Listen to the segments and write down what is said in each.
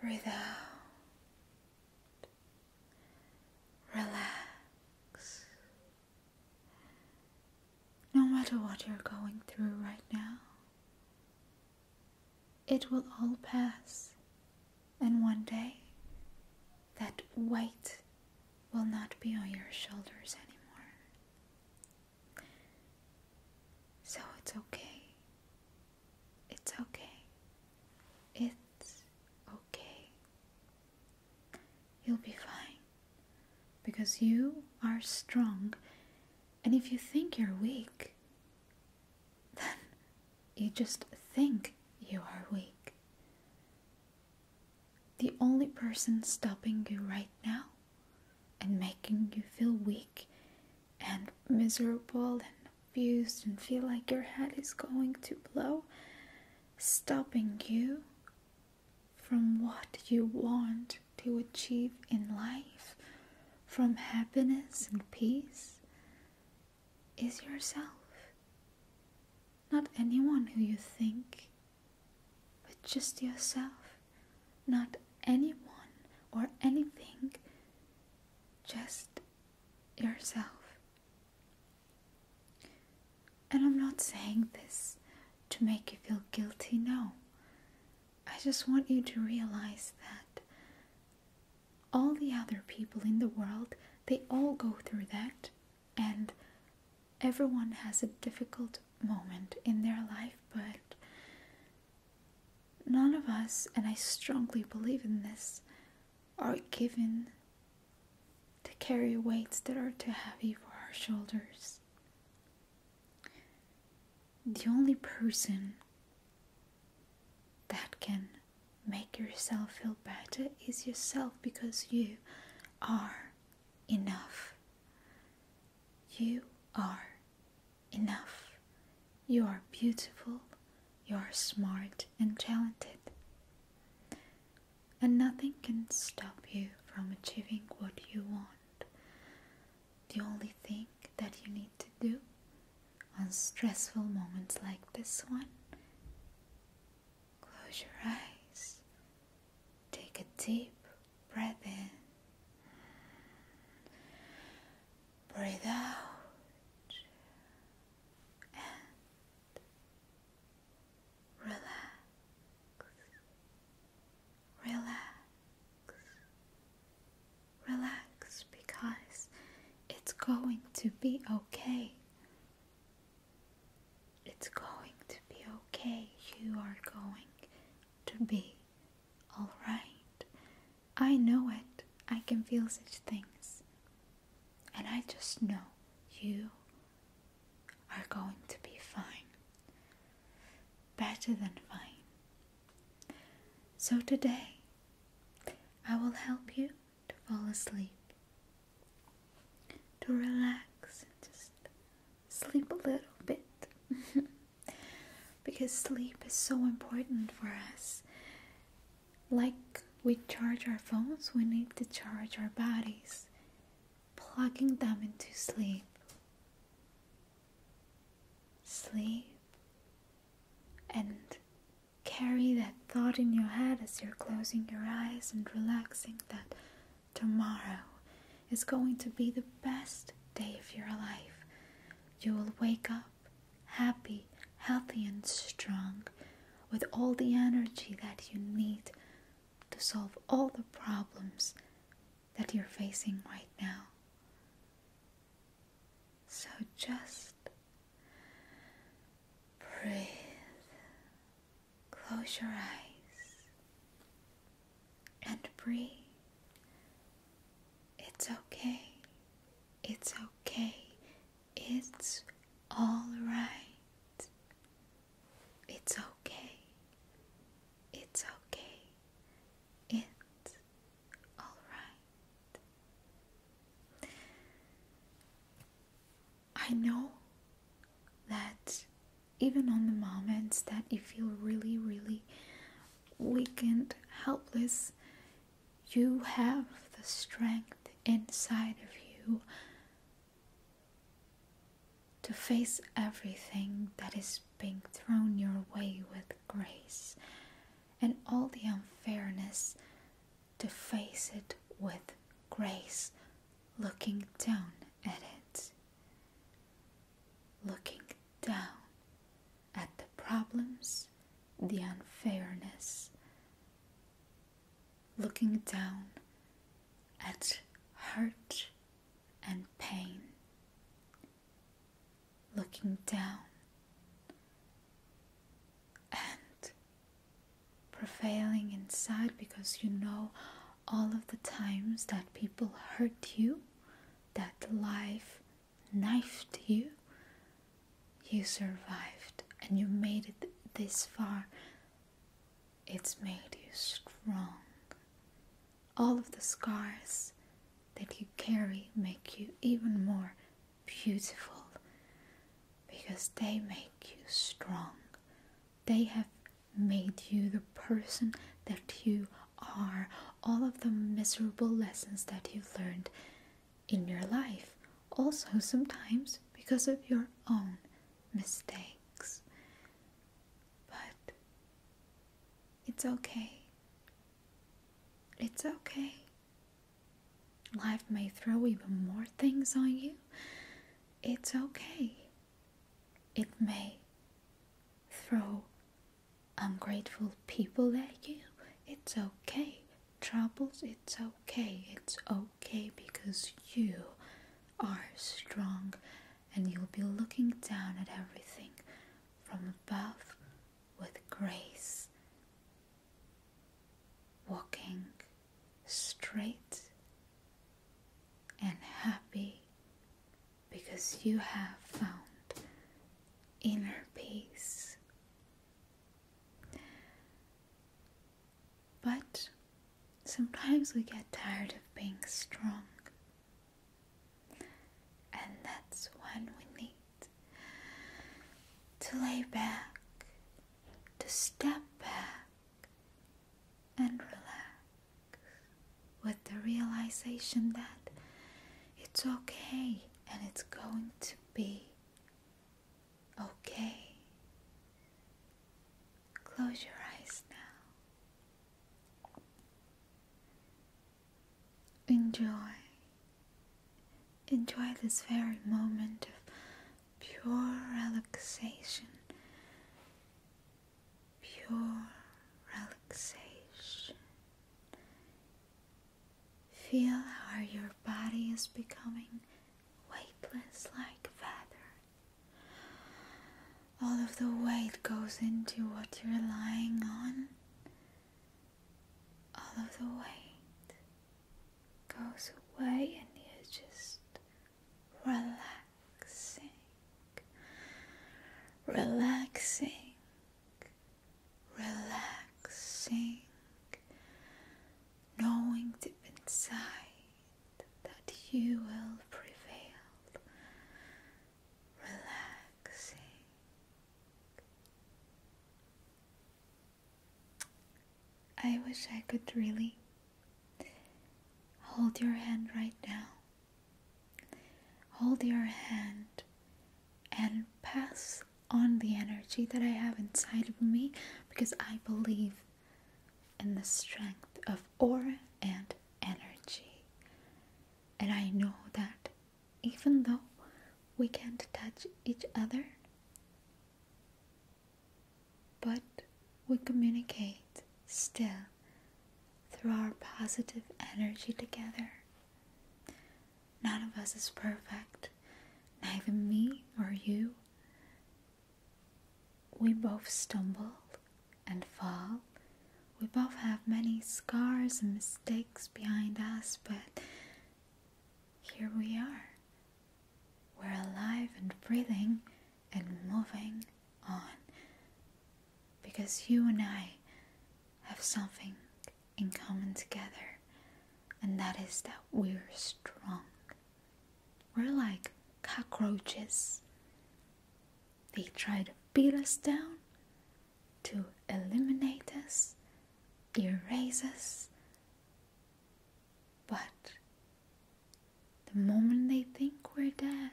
Breathe out. Relax. No matter what you're going through right now, it will all pass, and one day that weight will not be on your shoulders anymore. So it's okay. It's okay. It's okay. You'll be fine because you are strong, and if you think you're weak, then you just think you are weak. The only person stopping you right now and making you feel weak and miserable and abused and feel like your head is going to blow, stopping you from what you want to achieve in life, from happiness and peace, is yourself. Not anyone who you think, but just yourself. Not anyone or anything, just yourself. And I'm not saying this to make you feel guilty, no. I just want you to realize that all the other people in the world, they all go through that, and everyone has a difficult moment in their life, but None of us, and I strongly believe in this, are given to carry weights that are too heavy for our shoulders. The only person that can make yourself feel better is yourself because you are enough. You are enough. You are beautiful. You are smart and talented. And nothing can stop you from achieving what you want. The only thing that you need to do on stressful moments like this one, close your eyes, take a deep Breathe in. Breathe out. And relax. Relax. Relax because it's going to be okay. It's going to be okay. You are going to be all right. I know it. I can feel such things. And I just know you are going to be fine. Better than fine. So today, I will help you to fall asleep, to relax, and just sleep a little bit. because sleep is so important for us. Like we charge our phones, we need to charge our bodies, plugging them into sleep. Sleep and carry that thought in your head as you're closing your eyes and relaxing that tomorrow is going to be the best day of your life. You will wake up happy, healthy, and strong with all the energy that you need to solve all the problems that you're facing right now. So just breathe, close your eyes, and breathe. It's okay. It's okay. It's alright. It's okay. It's okay. It's alright. I know that even on the moments that you feel really, really Weakened, helpless, you have the strength inside of you to face everything that is being thrown your way with grace and all the unfairness to face it with grace, looking down at it, looking down at the problems, the unfairness, looking down at hurt and pain, looking down and prevailing inside because you know all of the times that people hurt you that life knifed you, you survived and you made it this far. It's made you strong. All of the scars that you carry make you even more beautiful because they make you strong. They have made you the person that you are all of the miserable lessons that you've learned in your life, also sometimes because of your own mistakes. But it's okay. It's okay. Life may throw even more things on you. It's okay. It may throw Ungrateful people like you, it's okay. Troubles, it's okay. It's okay because you are strong and you'll be looking down at everything from above with grace. Walking straight and happy because you have found inner peace. But sometimes we get tired of being strong, and that's when we need to lay back, to step back, and relax with the realization that it's okay and it's going to be okay. Close your eyes now. Enjoy. Enjoy this very moment of pure relaxation pure relaxation. Feel how your body is becoming weightless like a feather. All of the weight goes into what you're lying on. All of the weight goes away and you are just relaxing, relaxing relaxing, knowing deep inside that you will prevail, relaxing. I wish I could really hold your hand right now Hold your hand and pass on the energy that I have inside of me because I believe in the strength of aura and energy. And I know that even though we can't touch each other, but we communicate still through our positive energy together. None of us is perfect, neither me or you. We both stumble and fall. We both have many scars and mistakes behind us, but here we are. We're alive and breathing and moving on because you and I have something in common together, and that is that we're strong. We're like cockroaches. They try to beat us down, to eliminate us, erase us. But the moment they think we're dead,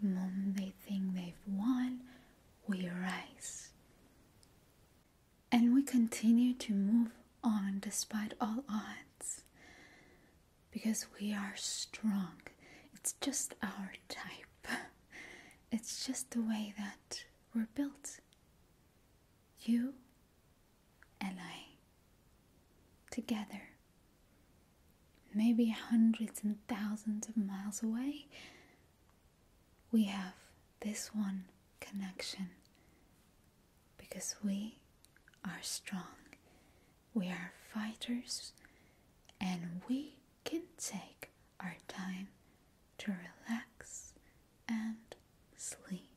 the moment they think they've won, we rise. And we continue to move on despite all odds because we are strong. It's just our type, it's just the way that we're built. You and I, together, maybe hundreds and thousands of miles away, we have this one connection because we are strong, we are fighters, and we can take our time to relax and sleep.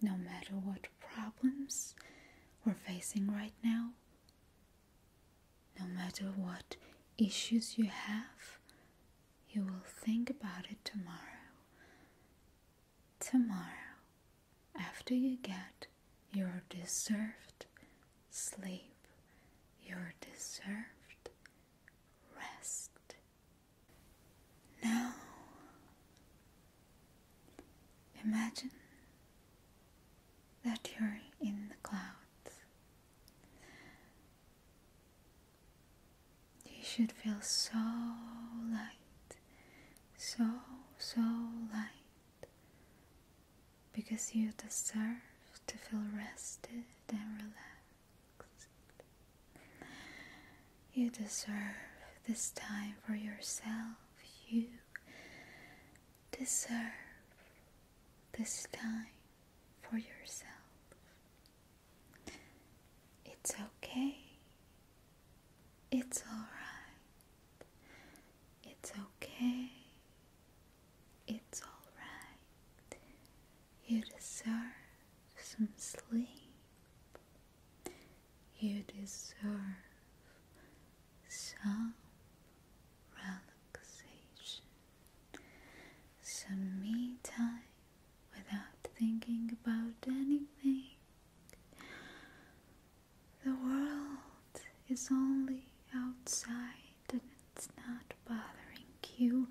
No matter what problems we're facing right now, no matter what issues you have, you will think about it tomorrow. Tomorrow, after you get your deserved sleep, your deserved rest. Now, imagine that you're in the clouds. You should feel so light, so, so light, because you deserve to feel rested and relaxed. You deserve this time for yourself. You deserve this time for yourself. It's okay. It's alright. It's okay. It's alright. You deserve some sleep. You deserve some relaxation, some me time without thinking about anything. The world is only outside and it's not bothering you,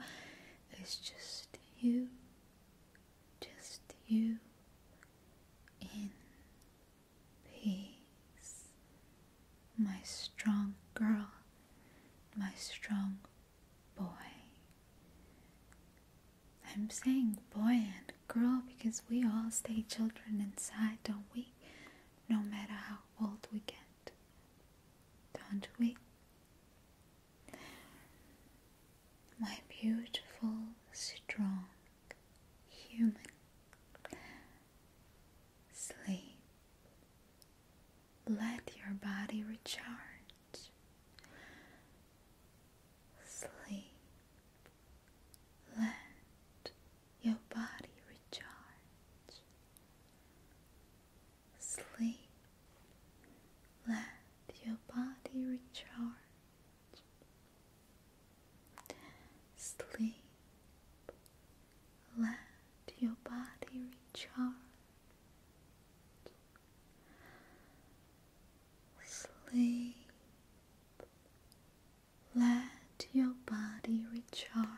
it's just you, just you in peace. My strong girl, my strong boy. I'm saying boy and girl because we all stay children inside, don't we? No matter how old we get. Don't we? My beautiful, strong human. Sleep. Let your body recharge. Sleep. Let your body recharge. Sleep. Let your body recharge. Sleep. Let your body recharge. Sleep. Let your body recharge.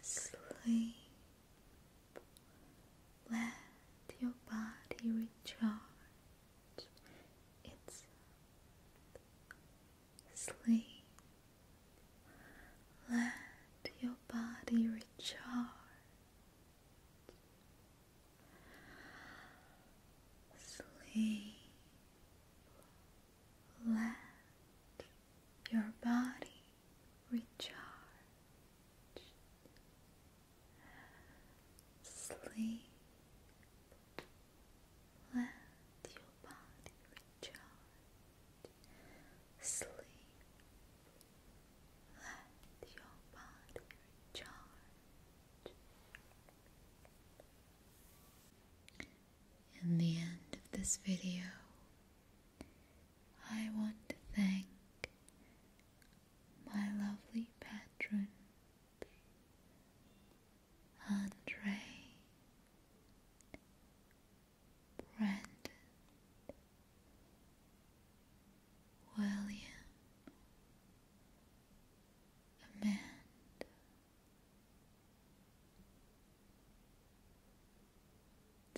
sleep. Let your body recharge it's sleep. Let your body recharge. Sleep. Let your body recharge. Sleep. Let your body recharge. Sleep. Let your body recharge. In the end of this video, I want to thank my lovely patron Andre, Brandon, William, Amanda.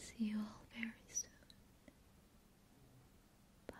See you all very soon. Bye.